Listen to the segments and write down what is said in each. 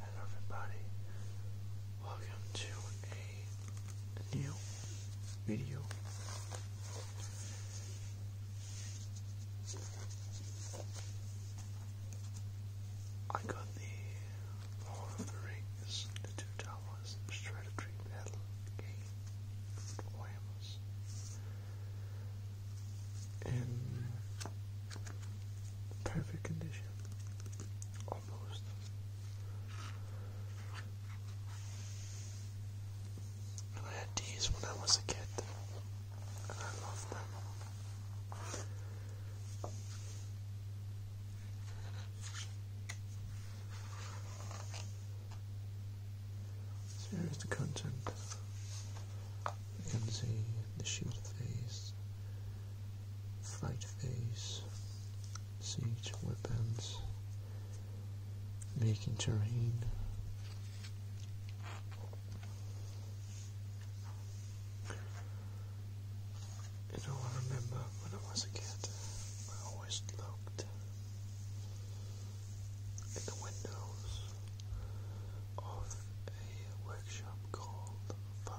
Hello everybody, welcome to a new video. I got the Lord Rings, the Two Towers, the Strategy Battle game And perfect condition. Almost. I had these when I was a kid, and I love them. here is the content. You the shield face, fight phase, siege weapons, making terrain. I want to remember when I was a kid, I always looked at the windows of a workshop called Far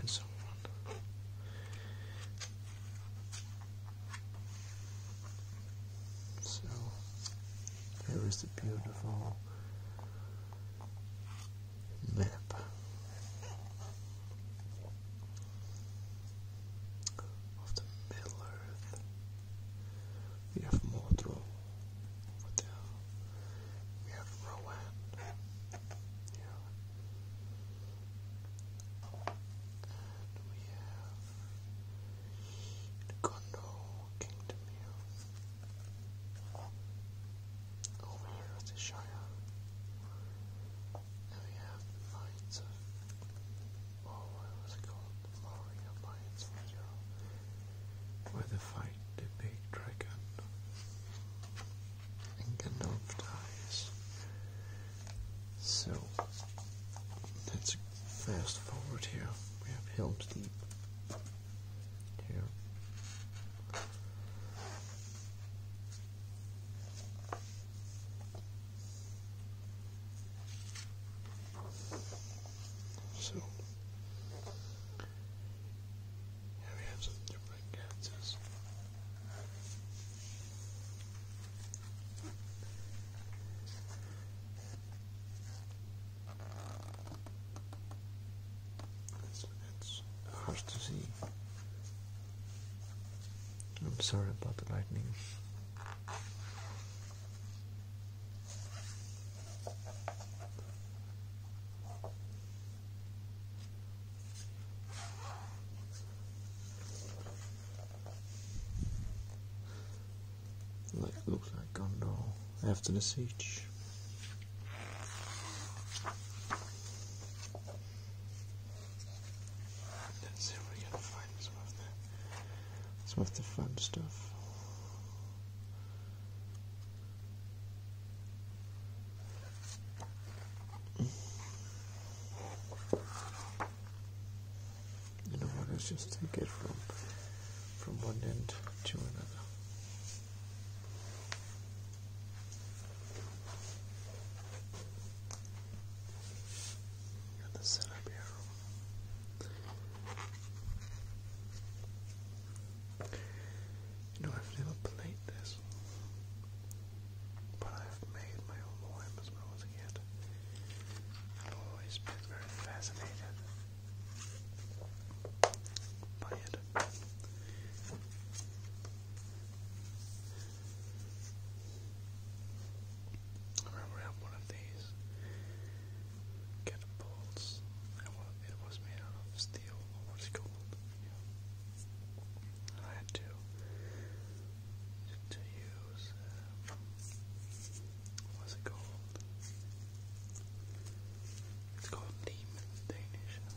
and so on. So there is the beautiful map of the Middle Earth. We have Mordor, Odell. We have Rowan. Yeah. And we have Kondo Kingdom here. Over here with the Shire. And we have the Oh, what was it called? The Mario where they fight the big dragon. And Gandalf dies. So, that's fast forward here. We have Helm's Deep here. So, we have some different cancers. It's, hard to see. I'm sorry about the lightning. Like looks like Gondor after the siege. Let's see if we can find some of the some of the fun stuff. You know what? Let's just take it from from one end to another. And the setup here. You know, I've never played this, but I've made my own warhammer when I I've always been very fascinated by it. I remember I one of these catapults. It was made out of steel, or what's it called? I had to to use uh, what's it called? It's called Danish. Uh,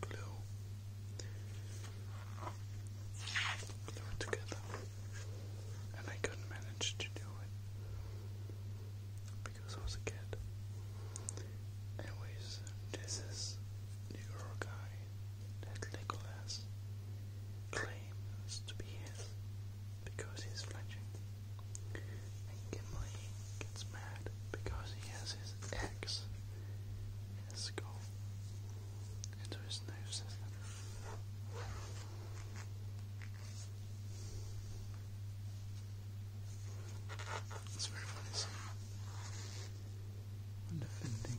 glue. Glue it together, and I couldn't manage to do it. Because this I was a kid. Anyways, this is the Uruguay that Legolas claims to be his because he's flinching. And Gimli gets mad because he has his axe skull. And there is no system. It's very funny defending.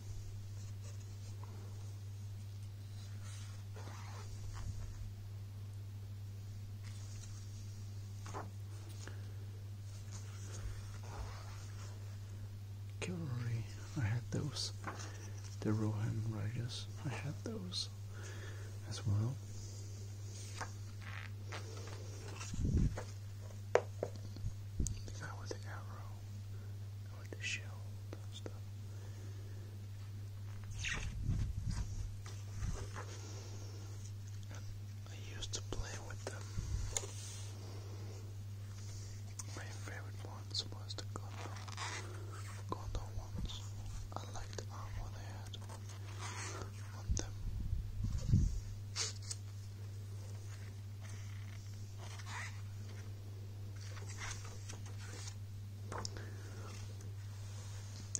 Cavalry, I had those. The Rohan Riders, I had those as well. The guy with the arrow, with the shield and stuff. I used to play with them. My favorite ones was the Gondor, ones. I liked armor they had.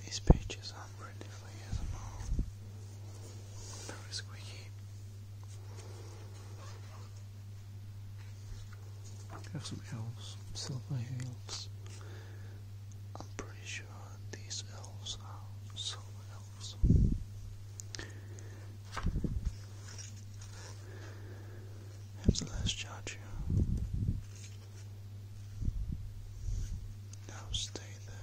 These pages aren't really for ASMR. Very squeaky. have some elves, silver elves. I'm pretty sure sure these elves are some elves. Perhaps the last you. Now stay there.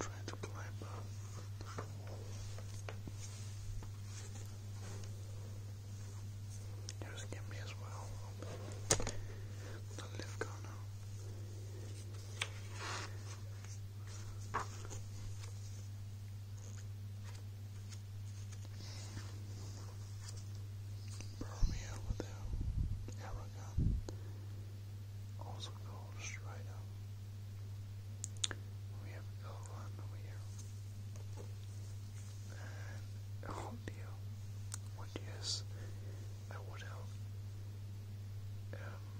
Trying to climb up the wall. Here's as well. The lift corner. Burn me Also called Strida. We have Elon over here. And Hordio, oh which is I would have um,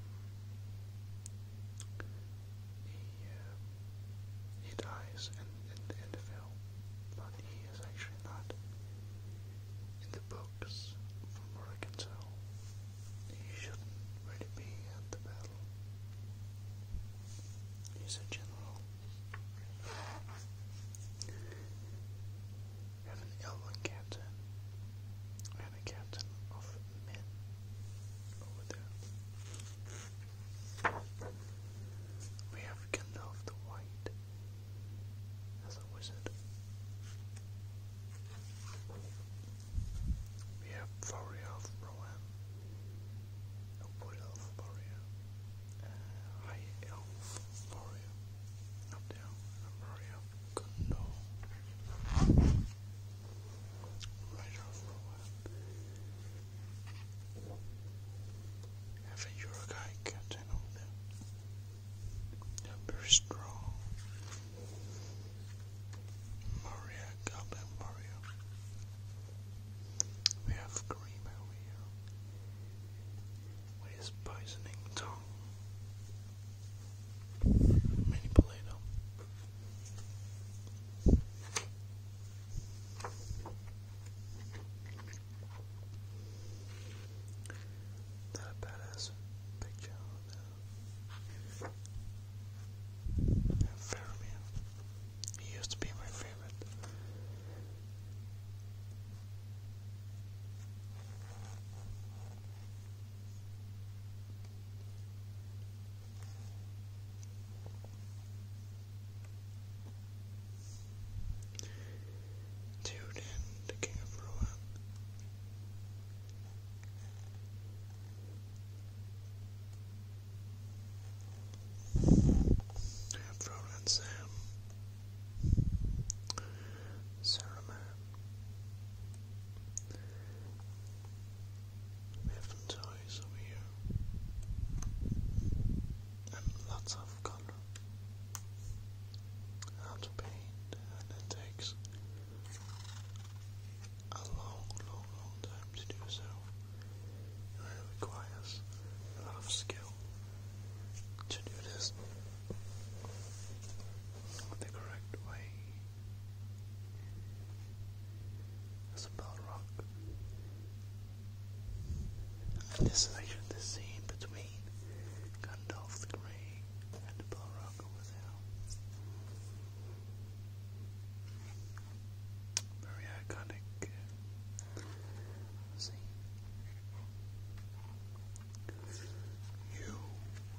uh, he dies in, in the end of film, but he is actually not in the books from what I can tell. He shouldn't really be at the battle. He's a general had an elder captain and captain of men over there. We have Gandalf the White as a wizard. We have Faria of Rohan, a wood elf warrior, a high elf warrior, up there, and Kondo. Writer for Have a Uruguay cat, I know very strong. Maria, Goblin Mario. We have cream over here with his poisoning tongue. Manipulator. That a badass picture of He used to be my favorite. Theoden, the king of Rohan. Roland Sam, Saruman, we have over here, and lots of color. How to paint, and it takes a long, long, long time to do so. It requires a lot of skill to do this the correct way. That's a this is actually the scene between Gandalf the Grey and the bell Very iconic uh, scene. You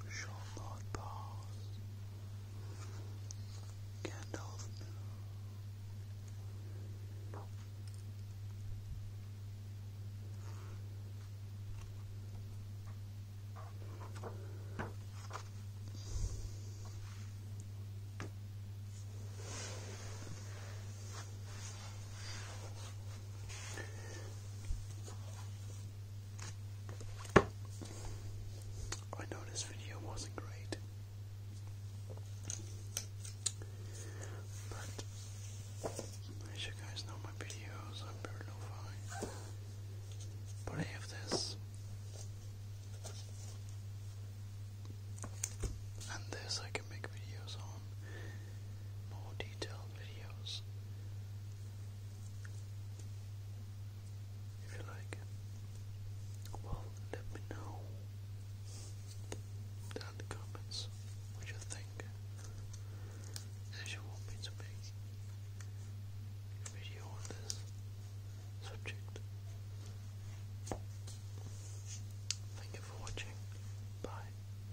shall not pass. Gandalf I know this video wasn't great, but as you guys know, my videos are very low-fi. But I have this, and this I can make videos on more detail videos if you like. Well, let me know down the comments what you think and you want me to make a video on this subject. Thank you for watching. Bye.